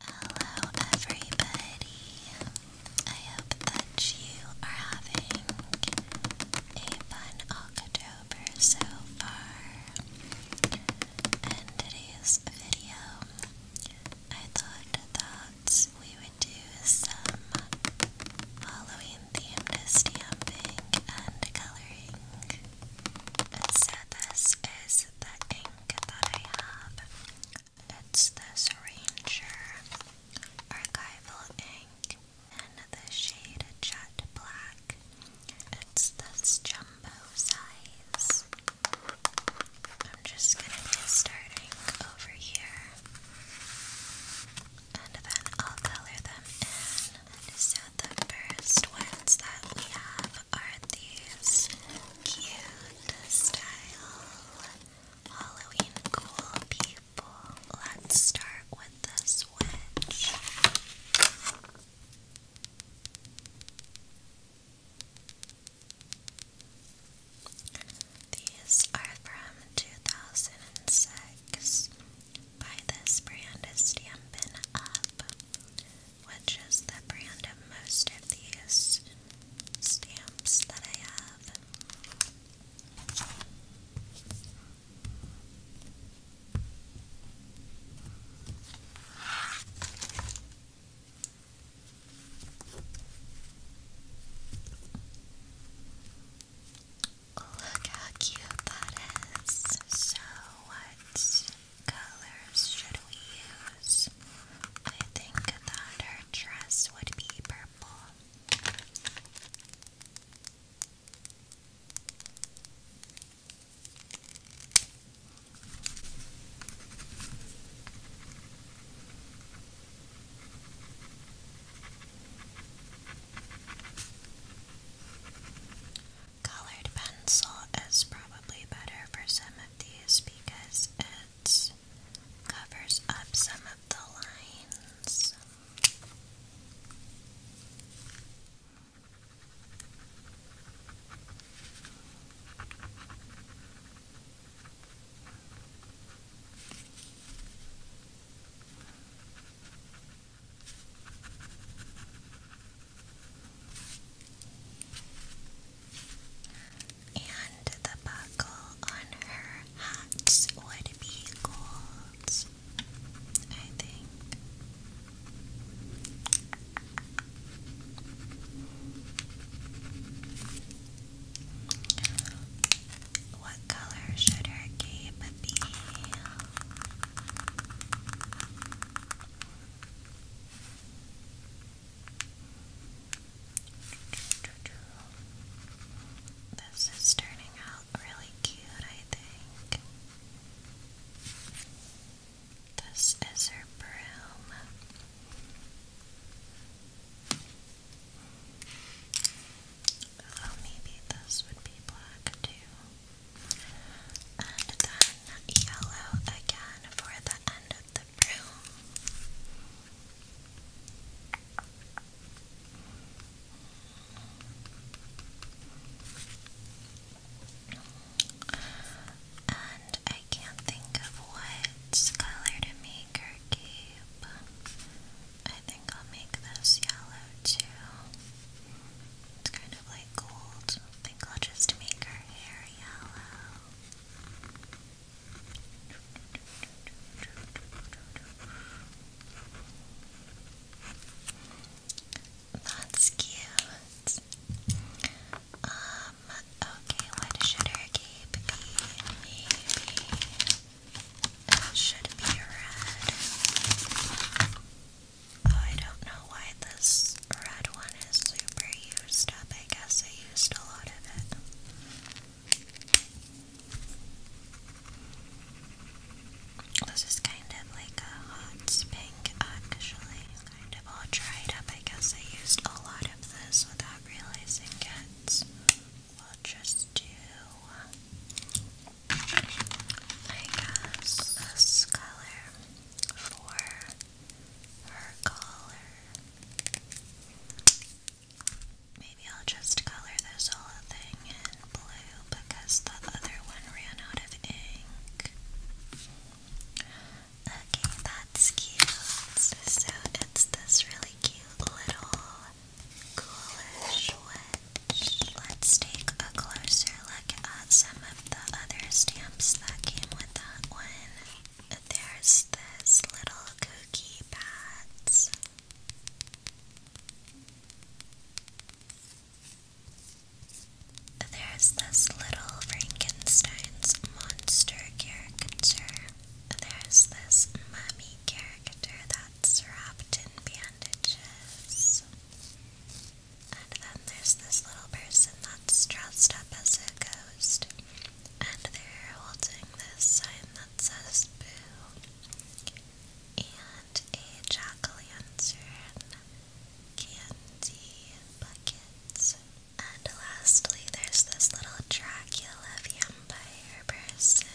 Hello, everybody. I hope that you are having a fun October so far. And today's video, I thought that we would do some Halloween themed stamping and coloring. So, this is the ink that I have. It's this Ranger Archival Ink in the shade Jet Black. It's this jumbo size. I'm just gonna be starting over here. And then I'll color them in. So the first ones that we have have are these cute style Halloween cool people. Let's start with this witch. These are from 2006 by this brand is Stampin' Up which just the brand of most of these stamps that I have. Look how cute that is. So, what colors should we use? I think that her dress would be purple. Colored pencil is probably better for some of these because it covers up some of the lines. And the buckle on her hat would be gold, I think. What color should her cape be? This is turning out really cute, I think. This is her broom. Although maybe this would be black too. And then yellow again for the end with the And I can't think of what color to make her keep. I think I'll make this yellow too. It's kind of like gold. I think I'll just make her hair yellow. That's cute. Um, okay, what should her cape be? Maybe it should be red. Oh, I don't know why this red one is super used up. I guess I used a lot of it. This is kind of like a hot pink, actually. Kind of all dried up. I guess I used a lot of this without realizing it. We'll just do, I guess, this color for her collar. Maybe I'll just color this whole thing in blue because the other one ran out of ink. Okay, that's cute. So it's this really cute little coolish wedge. Let's take a closer look at some of the other stamps that came with that one. There's this little cookie bat. There's this little Frankenstein's monster caricature. There's this mummy character that's wrapped in bandages. And then there's this little person that's dressed up as a ghost and they're holding this sign that says Boo and a jack candy bucket. And lastly, there's this little Dracula vampire person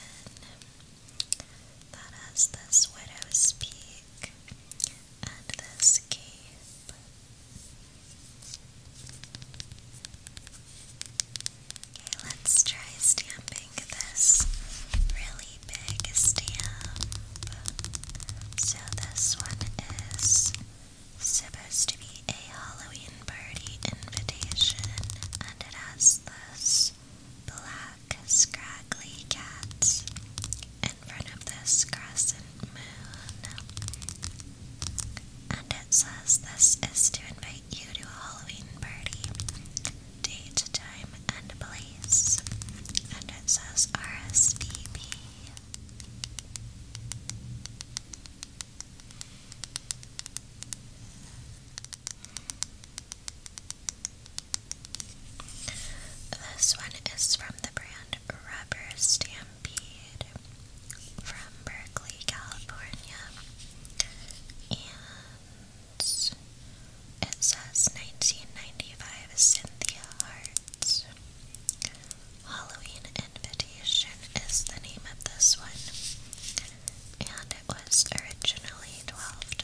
that has this widow's peak and this cape Okay, let's try stamping this really big stamp. So, this one is supposed to be a Halloween party invitation, and it has this black, scraggly cat in front of this crescent moon. And it says this is to invite you to a Halloween party. Date, time, and place. And it says RSVP. This one is from the brand Rubber Stampede from Berkeley, California, and it says 1995 Cynthia Hearts. Halloween Invitation is the name of this one, and it was originally $12.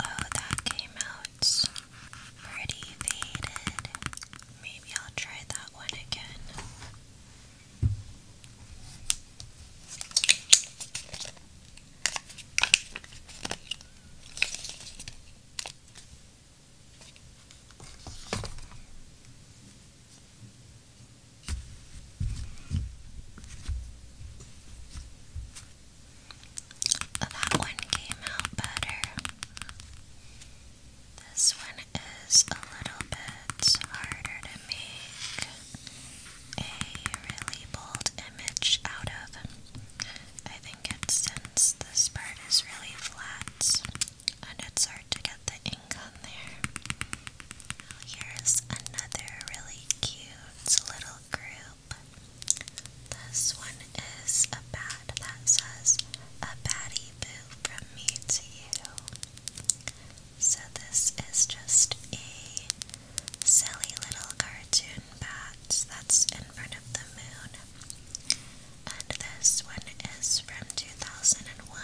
Oh, that came out pretty faded. Maybe I'll try that one again. That one came out better. This one is a little bit harder to make a really bold image out of. I think think it's since this part is really flat and it's hard to get the ink on there. Now here's another really cute little group. This one is a bat that says a batty boo from me to you. So this is just a silly little cartoon bat that's in front of the moon and this one is from 2001.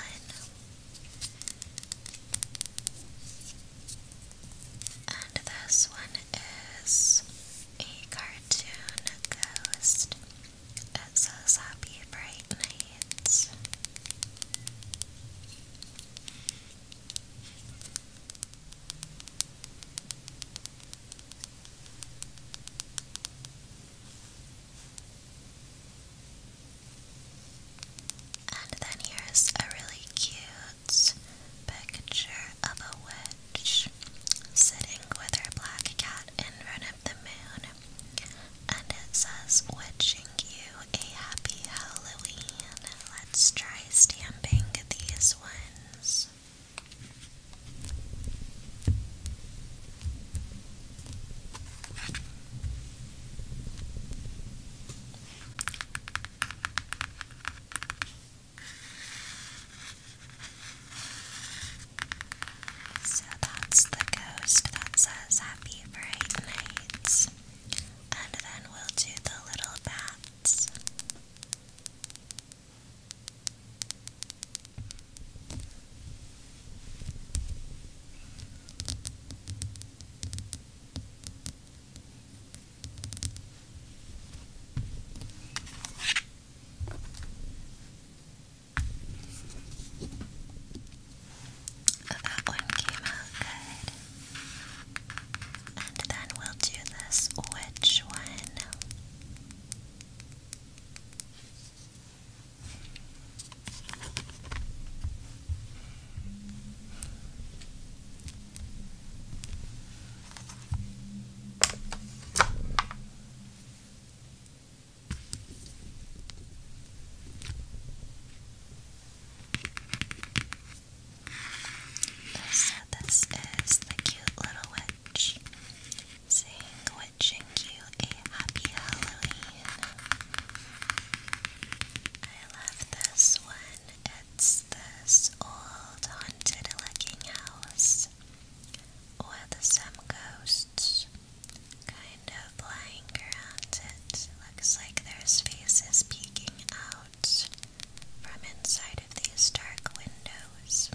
And this one is a cartoon ghost. It says Happy Bright and then here's a really cute picture of a witch sitting with her black cat in front of the moon. And it says, Wishing you a happy Halloween. Let's try stamping these ones. Yes. So that's the ghost that says happy bright And then we'll do the little bats. That one came out good. And then we'll do this. Which one? So this is the cute little wet Saying wishing you a happy Halloween. I love this one. It's this old haunted looking house with some ghosts kind of lying around it. Looks like there's faces peeking out from inside of these dark windows.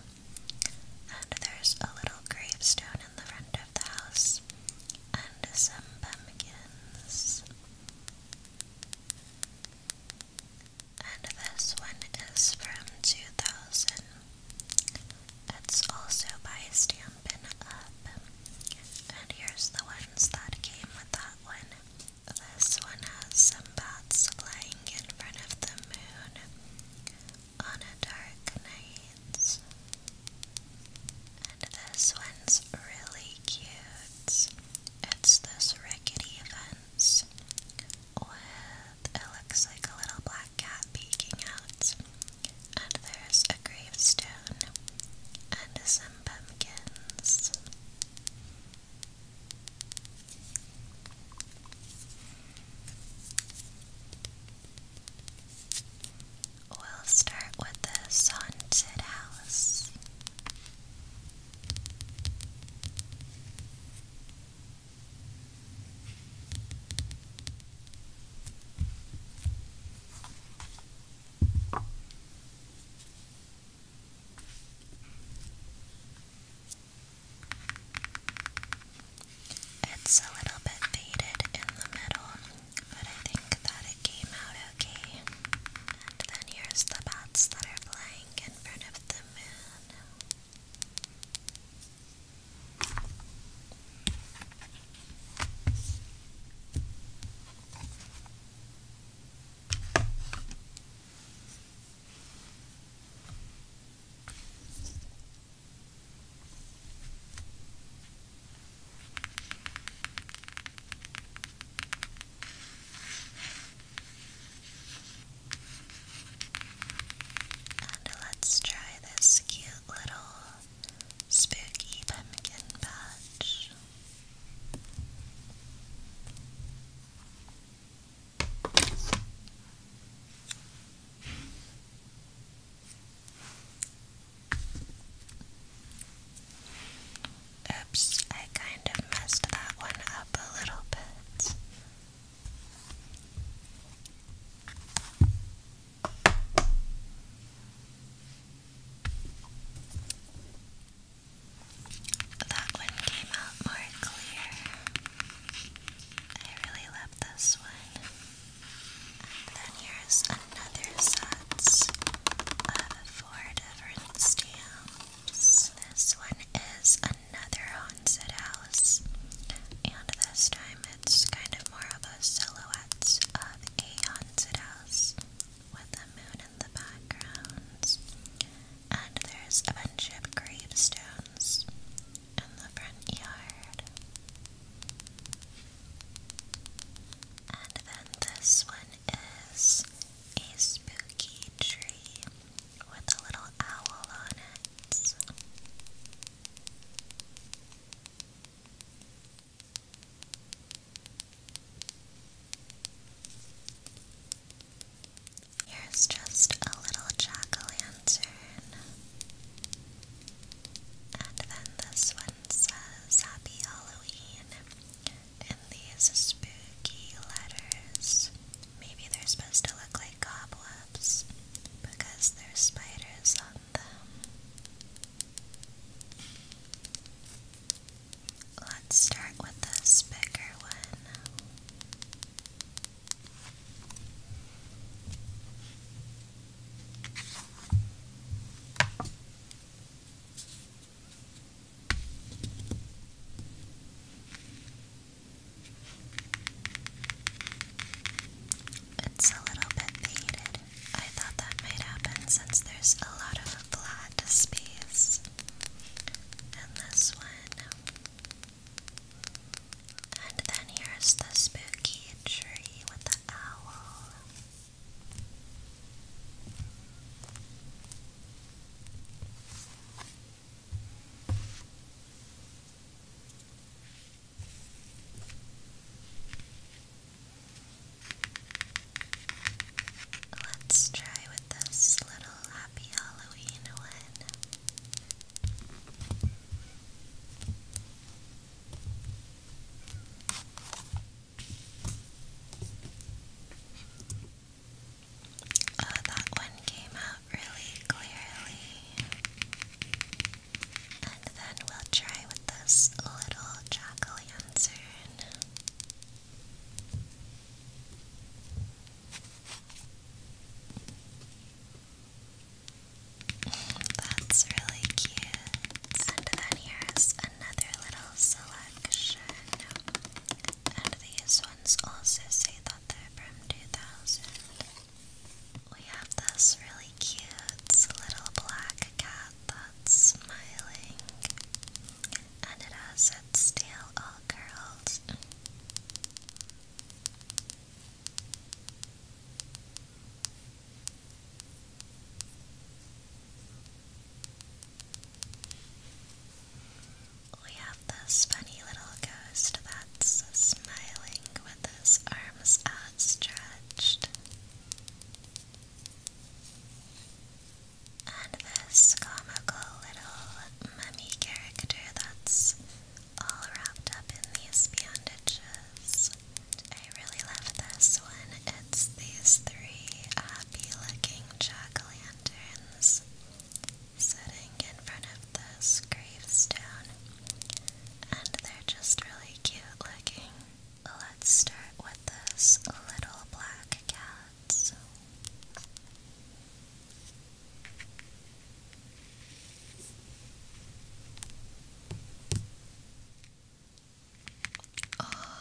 And there's a little gravestone in the front of the house, and some pumpkins. And this one is from 2000. It's also by Stampin' Up. And here's the ones that came with that one. This one has some bats flying in front of the moon, on a dark night. And this one's really cute. It's this rickety fence with looks like a little black cat peeking out. And there's a gravestone and some pumpkins. We'll start with the haunted house. It's a little bit faded in the middle, but I think that it came out okay. And then here's the bats that are flying in front of the moon. And let's try this cute little spooky pumpkin patch. Oops, I kind of messed that one up a little bit. That one came out more clear. I really love this one. And then here's another set of four different stamps. This one is another haunted house, and this time it's kind of more of a silhouette of a haunted house with the moon in the background. And there's a bunch of gravestones in the front yard. And then this one is a spooky tree with a little owl on it. Here's just a little jack o' lantern. And then this one says Happy Halloween in these spooky letters. Maybe they're supposed to look like cobwebs because there's spiders on them. Let's start with this bigger one. It's a little bit faded. I thought that might happen since there's a lot of flat space. And this one and then here's the spooky tree with the owl. Let's try with this little happy Halloween one. Oh, that one came out really clearly. And then we'll try with this little jack o' That's really cute. And then here's another little selection. And these ones also say that they're from 2000. We have this really cute little black cat that's smiling. And it has its tail all curled. We have this funny little ghost that's smiling with his arms outstretched. And this comical little mummy character that's all wrapped up in these bandages. I really love this one. It's these three happy looking jack sitting in front of this gravestone, and they're just really cute looking. Let's start with this little black cat. Oh.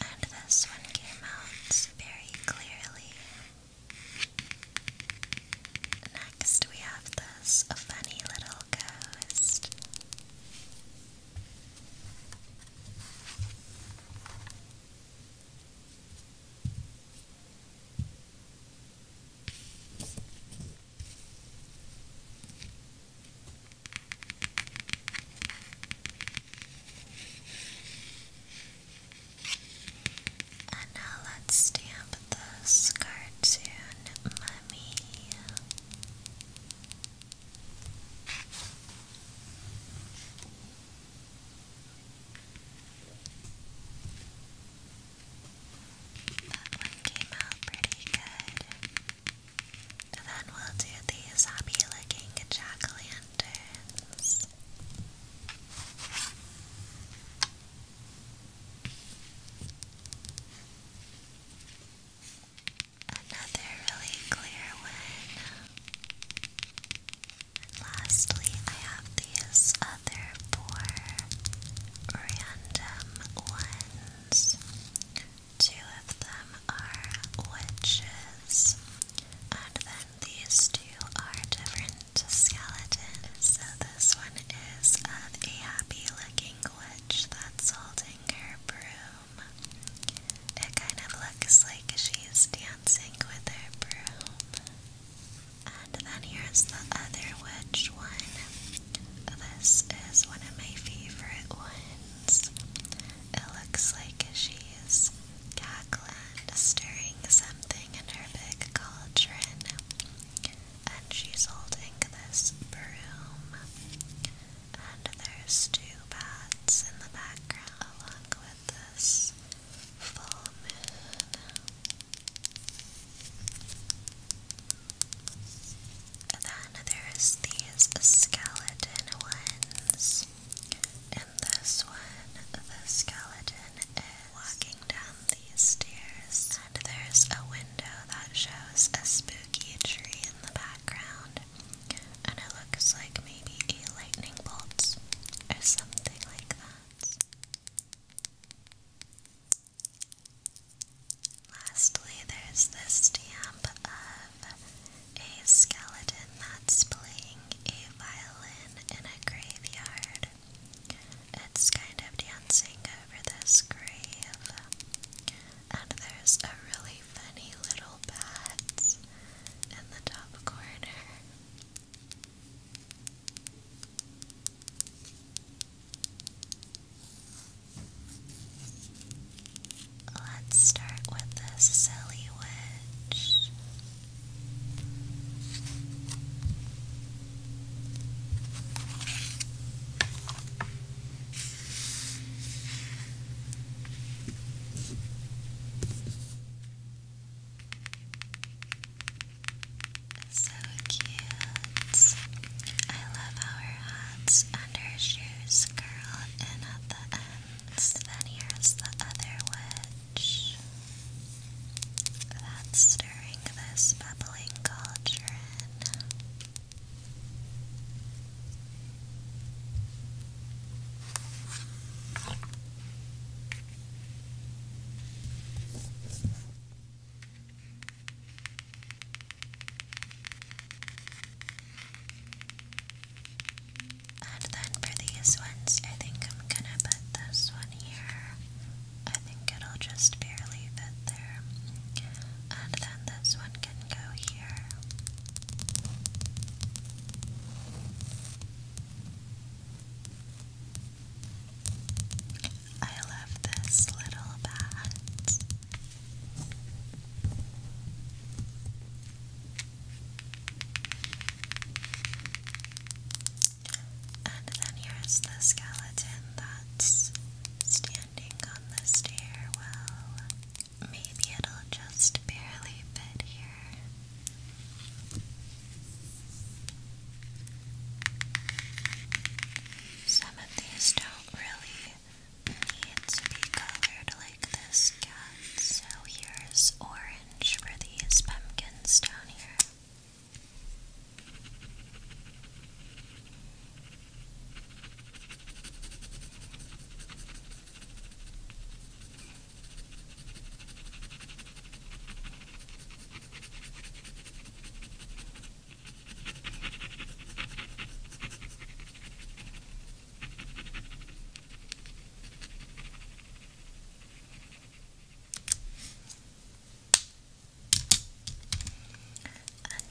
And this one came out very clearly. Next, we have this funny little ghost. And now let's stamp this cartoon mummy. That one came out pretty good. then we'll do these happy looking jack o' lanterns. Another really clear one. And lastly, I have these other four random ones. Two of them are witches, and then these two are different skeletons. So this one is a happy looking witch that's holding her broom. It kind of looks like she's dancing with her broom. And then here's the other witch one. This is one of my favorite ones. It looks like she's cackling, stirring something in her big cauldron. And she's holding this broom. And there's two bats in the background along with this full moon. Then there's these skeleton ones. In this one, the skeleton is walking down these stairs, and there's a window that shows a spooky tree in the background, and it looks like maybe a lightning bolt or something like that. Lastly, there's this stamp of a skeleton that's playing a violin in a graveyard. It's kind of dancing over this grave. And there's a really funny little bat in the top corner. Let's start with the silly witch. So cute. I love how her hats and her shoes curl in at the ends. Then here's the other witch that's stirring this bubbling cauldron. And then for these ones, I think I'm gonna put this one here. I think it'll just barely fit there. And then this one can go here. I love this little bat. And then here's the skeleton that's standing on the stairwell. Maybe it'll just barely fit here. Some of these don't really need to be colored like this so here's orange for these pumpkins down here.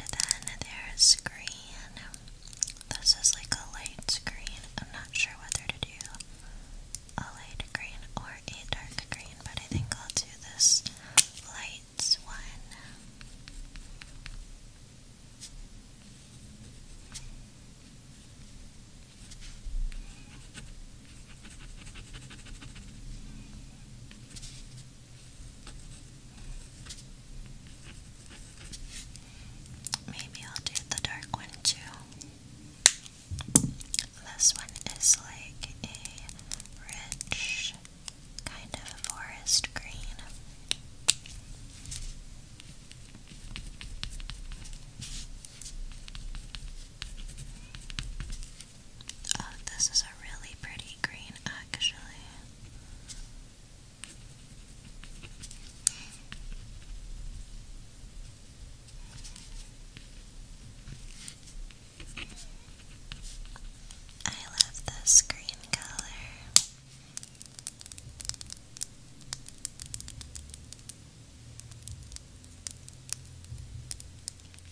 And then there's screen. This is like a light screen. I'm not sure whether to do a light green or a dark green, but I think I'll do this light one. Maybe I'll do the dark one too. This one is like a rich kind of forest green. Oh, this is a really pretty green, actually. I love this green color.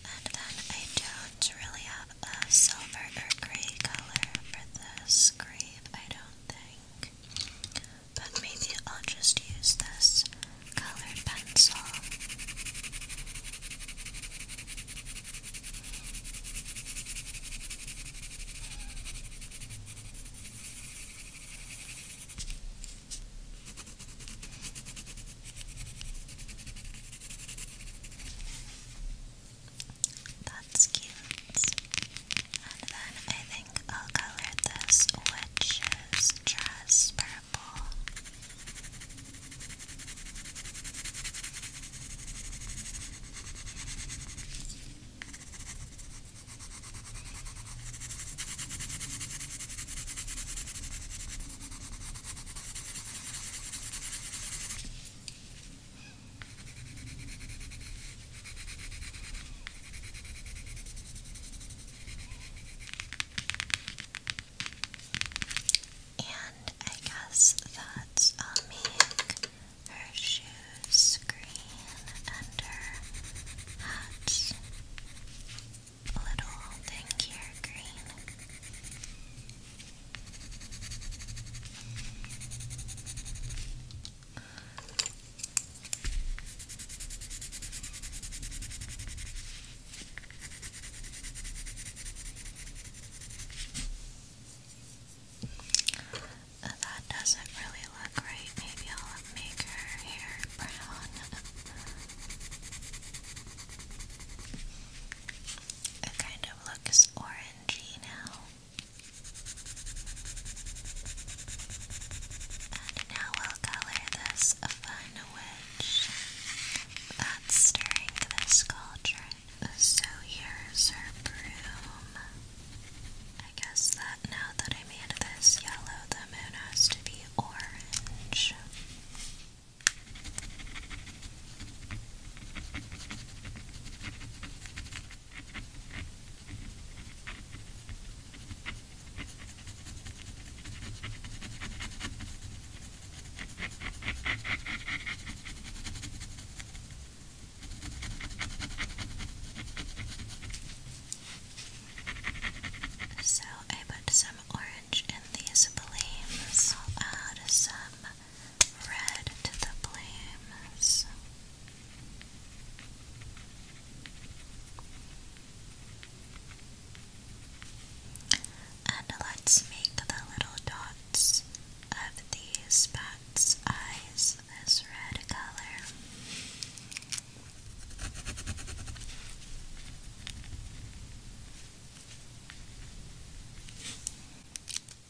And then I don't really have a silver or gray color for this grave, I don't think but maybe I'll just use this colored pencil. That's cute. And then I think I'll color this witch's dress purple. And I guess that I'll make her shoes green and her hat little thing green. Uh, that doesn't really look right. Maybe I'll make her hair brown. It kind of looks orangey now. And now we'll color this is a fun witch that's stirring this cauldron. So here's her broom. I guess that now that I made this yellow, the moon has to be orange. So I put some orange in these flames. I'll add some red to the flames. And let's make the little dots of these bat's eyes this red color.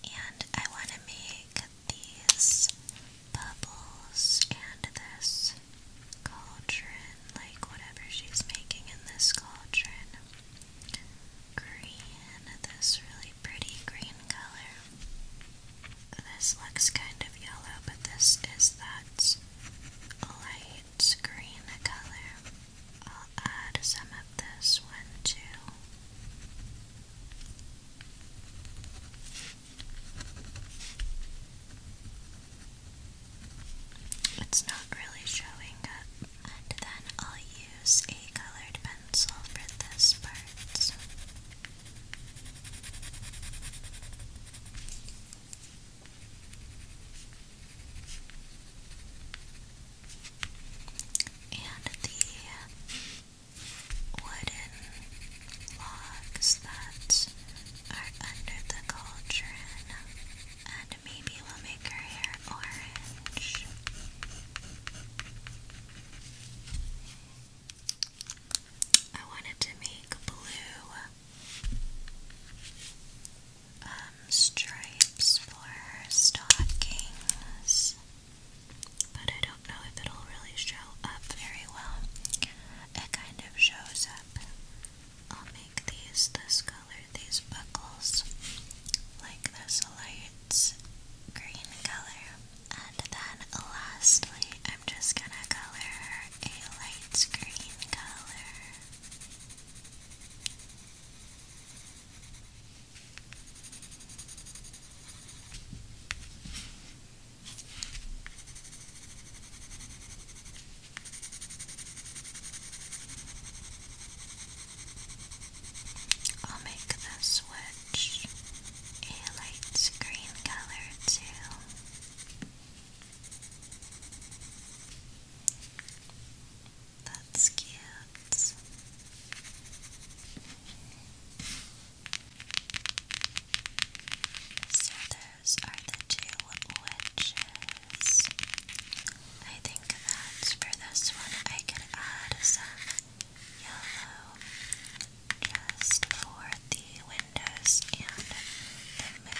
And I want to make these bubbles and this cauldron, like whatever she's making in this cauldron. Green, this really pretty green color. This looks kind of yellow, but this is that light green color. I'll add some of this one too. It's not really showing up. And then I'll use a colored pencil for this part. And the wooden logs that are under the cauldron, and maybe we'll make her hair orange. I wanted to make blue um, stripes for her stockings, but I don't know if it'll really show up very well. It kind of shows up I'll make these this color, these buckles, like this light green color. And then lastly, I'm just gonna color a light green color. I'll make the switch a light green color too. That's cute. So there those are the two witches. I think that's for this one. I could add some yellow just for the windows and the moon.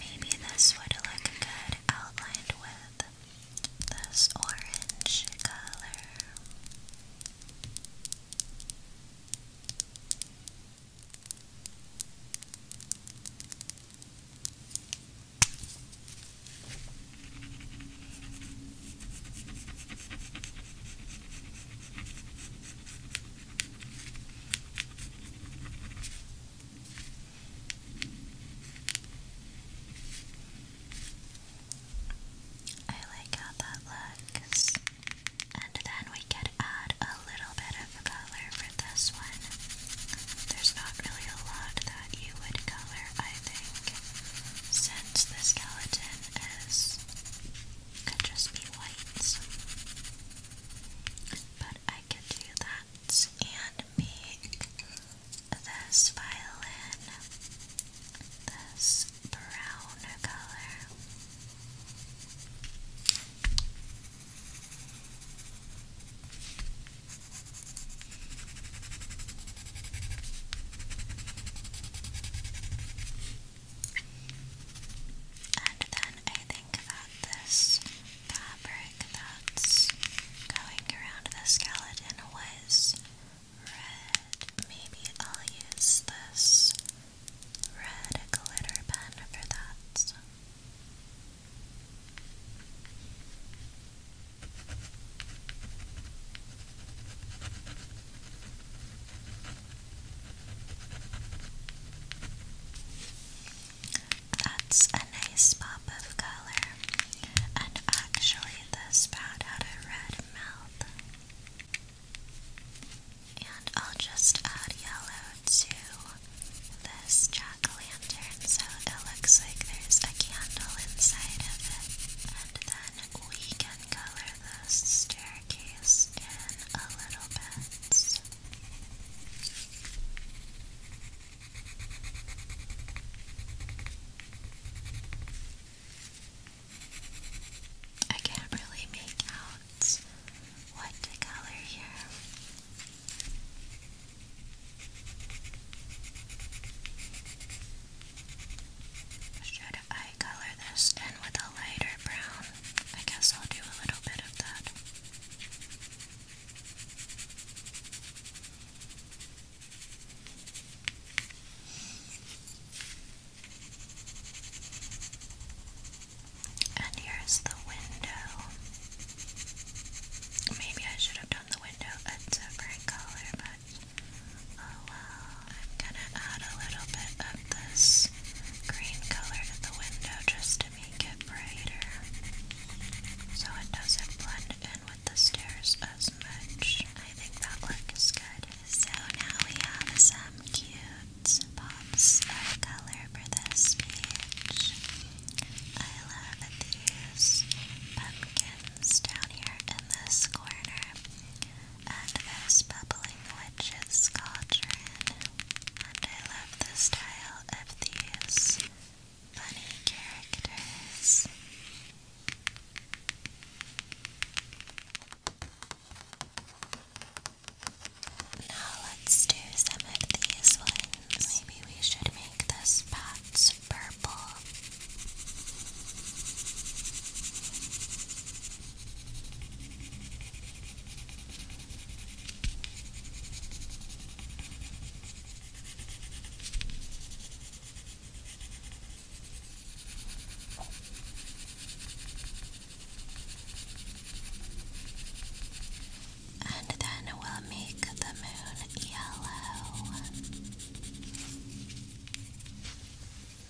Maybe this would look good outlined with this orange color. I like how that looks. And then we could add a little bit of color for this one. There's not really a lot that you would color, I think, since the skeleton is could just be white. But I could do that and make this violin this brown color. And then I think about this fabric that's going around the skeleton was red maybe I'll use this red glitter pen for that. That's a nice pop of color, and actually, this pad had a red mouth. And I'll just add yellow to this jack o' lantern so it looks like there's a candle inside of it. And then we can color this staircase in a little bit. I can't really make out what to color here. Should I color this in with a lighter brown? I guess I'll do a little bit of that. And here's the window. Maybe I should have done the window a different color, but oh well. I'm gonna add a little bit of this green color to the window just to make it brighter so it doesn't blend in with the stairs as much. I think that looks good. So now we have some cute pops of color for this page. I love these pumpkins down here in this corner, and this bubbling witch's sculpturing. And I love the style of these funny characters. Now let's do some of these ones. Maybe we should make the spots purple. And then we'll make the moon yellow.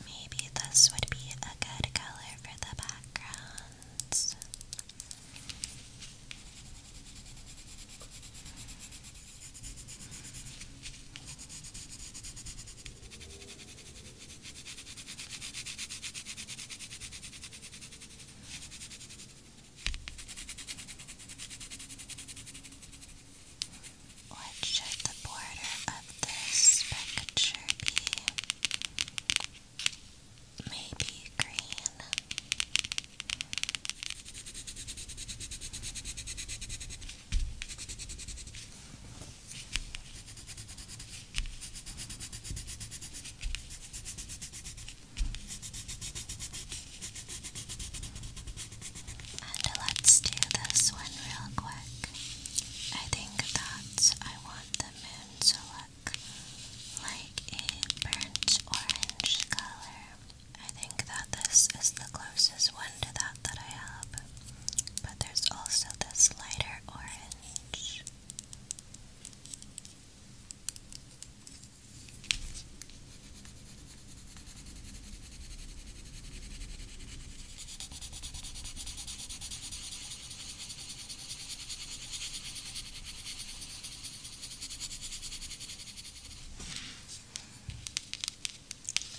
Maybe this would be a good color for the background. What should the border of this picture be? Maybe green. And let's do this one real quick. I think that I want the moon to look like a burnt orange color. I think that this is the closest one to that that I have, but there's also this lighter orange much.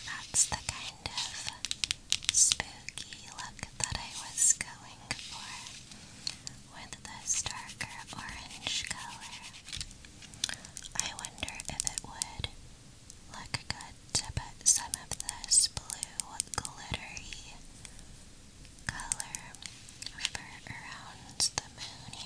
That's the kind of spooky look that I was going for with this darker orange color. I wonder if it would look good to put some of this blue glittery color over around the moon here.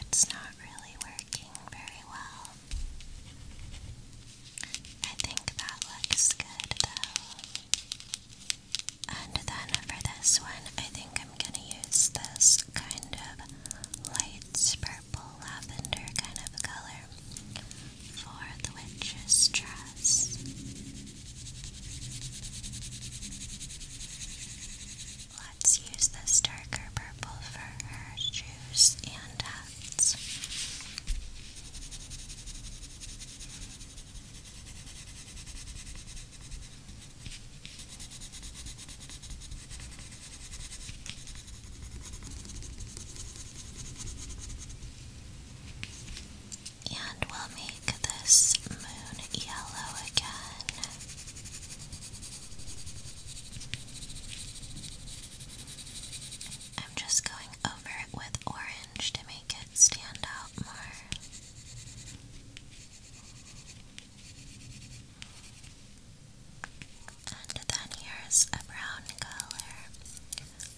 It's not really working very well. I think that looks good though. And then for this one, I think I'm gonna use this kind of light purple lavender kind of color for the witch's dress. Let's use this darker purple for her shoes and hats. And we'll make this moon yellow again. I'm just going over it with orange to make it stand out more. And then here's a brown color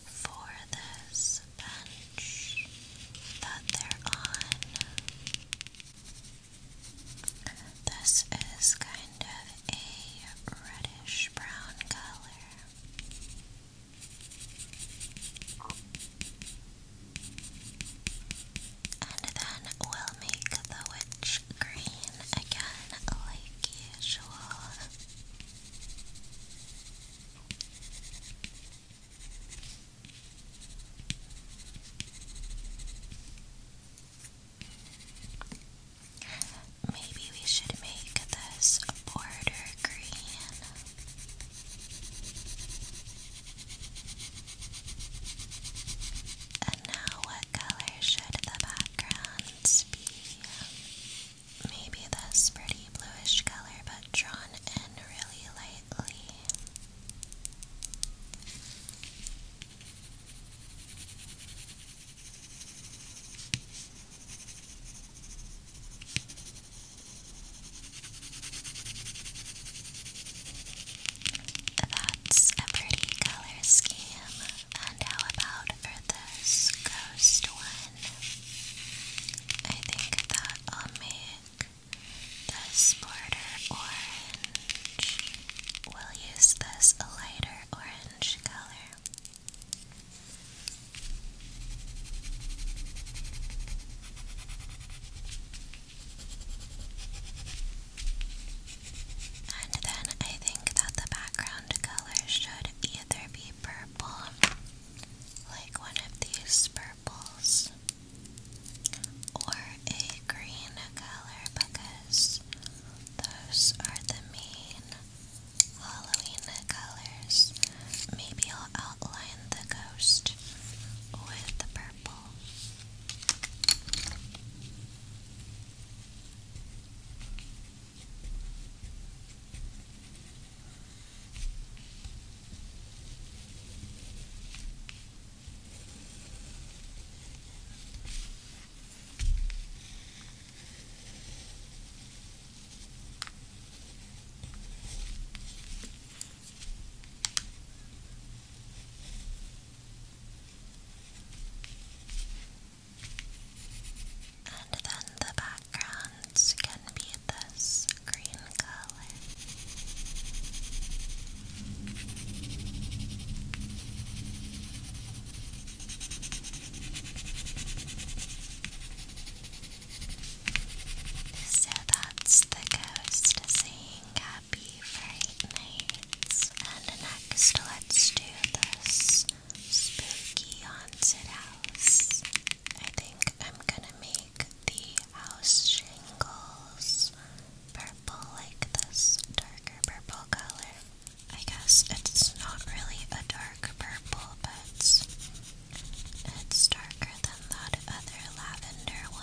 for this the bench that they're on. This is kind of a reddish brown color. And then we'll make the witch green again, like usual. Maybe we should make this border green. And now, what color should the backgrounds be? Maybe this pretty bluish color, but drawn in really light. That's a pretty color scheme. And how about for this ghost one? I think that will make this border orange. We'll use this lighter orange color. And then I think that the background color should either be purple, like one of these purple or a green color because those are the main Halloween colors. Maybe I'll outline the ghost with the purple. And then the backgrounds can be so that's the ghost saying happy fright nights. And next, let's do this spooky haunted house. I think I'm gonna make the house shingles purple, like this darker purple color. I guess it's not really a dark purple, but it's darker than that other lavender one.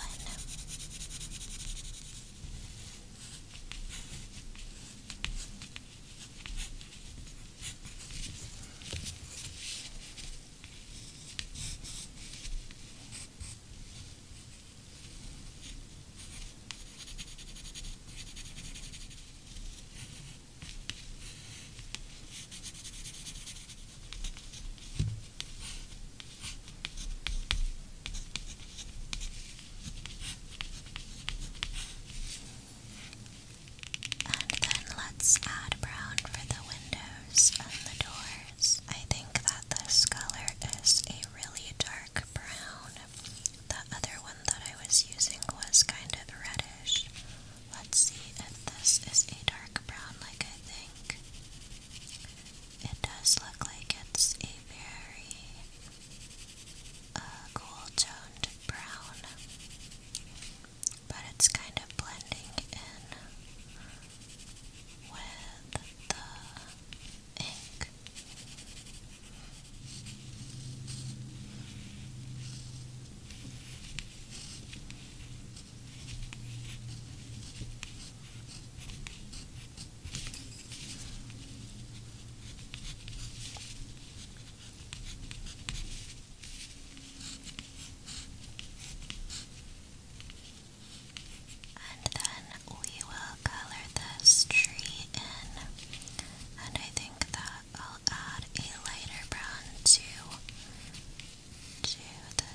And then let's add brown for the windows and the door. I think that this color is a really dark brown. The other one that I was using was kind of reddish. Let's see if this is a dark brown, like I think. It does look like it's a very uh, cool toned brown but it's kind of blending in with the ink. And then we will color this tree in. And I think that I'll add a lighter brown to, to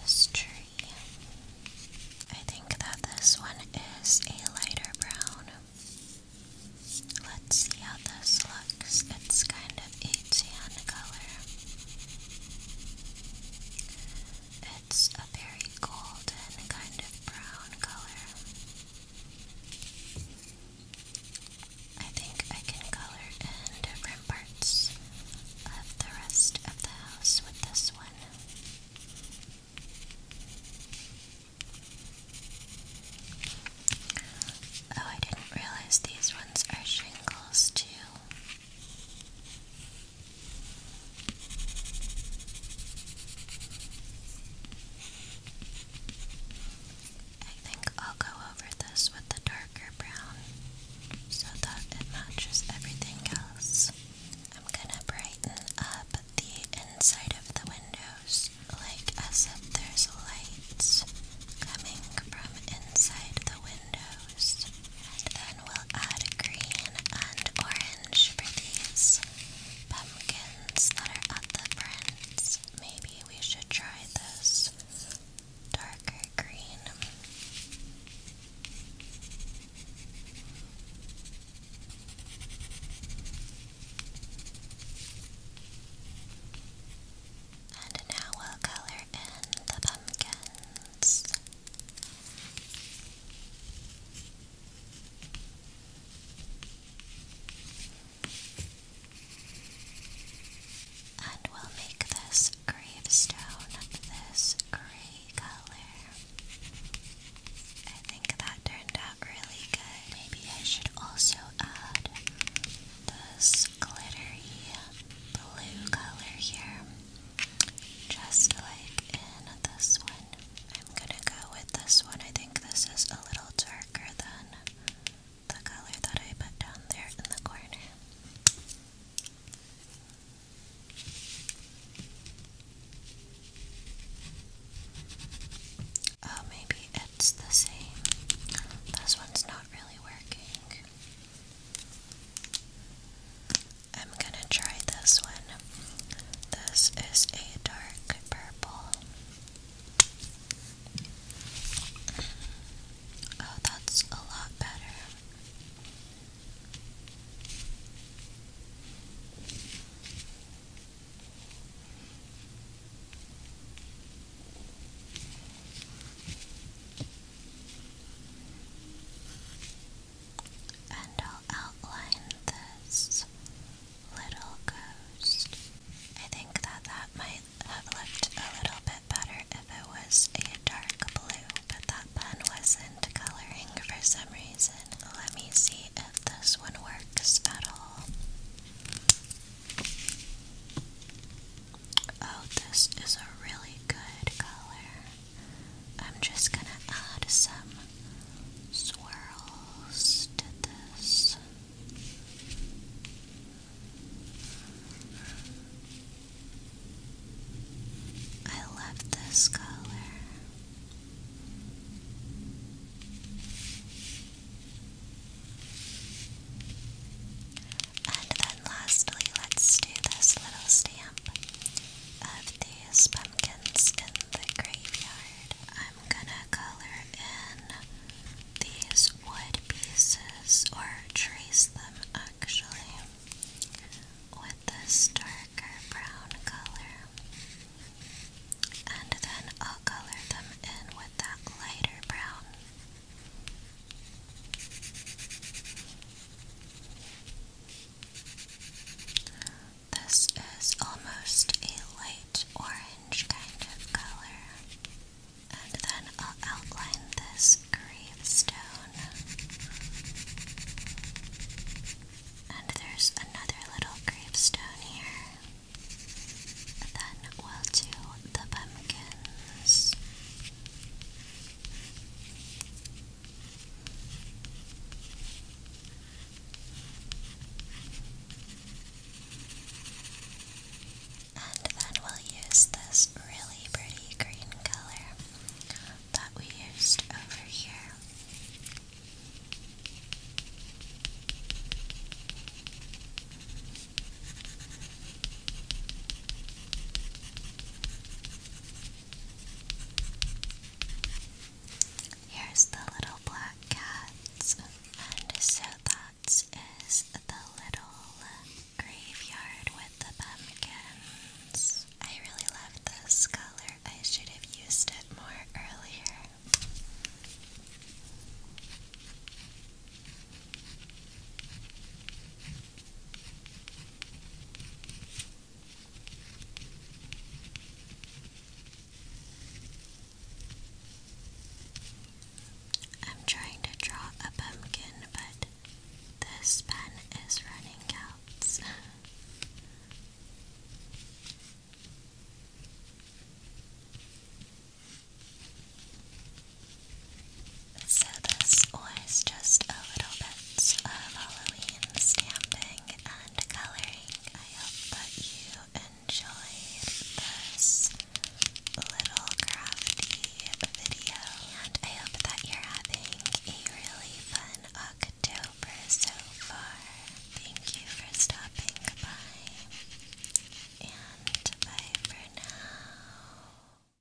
this tree. I think that this one is a lighter brown. Let's see how this looks. It's kind of a tan color. It's a very golden kind of brown color. I think I can color in different parts of the rest of the house with this one. Oh, I didn't realize these ones are shingles too. I think I'll go over this with the darker brown so that it matches everything else. I'm gonna brighten up the inside of the windows, like as if there's lights coming from inside the window. And then we'll add green and orange for these pumpkins that are at the front. Maybe we should try this darker green. And now we'll color in the pumpkin. And we'll make this gravestone this gray color. I think that turned out really good. Maybe I should also add this glittery blue color here. Just like in this one. I'm gonna go with this one. I think this is a little darker than the color that I put down there in the corner. Oh, maybe it's the same. This one's not really working. I'm gonna try this one. This is a dark purple. Oh, that's a lot better. And I'll outline this little ghost. I think that that might have looked a little bit better if it was a dark blue, but that pen wasn't coloring for some reason. Let me see if this one works at all. Oh, this is a really good color. I'm just gonna add some swirls to this. I love this color. And then lastly, let's do this little stamp of these pumpkins in the graveyard. I'm gonna color in these wood pieces or trace them actually with this darker brown color. And then I'll color them in with that lighter brown. This is almost a light orange kind of color. And then I'll outline this gravestone. And there's another little gravestone here. Then we'll do the pumpkins. And then we'll use this really pretty green color that we used over here. Here's the little black cats, and so that is the little graveyard with the pumpkins. I really love this color, I should have used it more earlier. I'm trying to draw a pumpkin, but this pen is running out. So this was just a little bit of Halloween stamping and coloring. I hope that you enjoyed this little crafty video. And I hope that you're having a really fun October so far. Thank you for stopping by. And bye for now.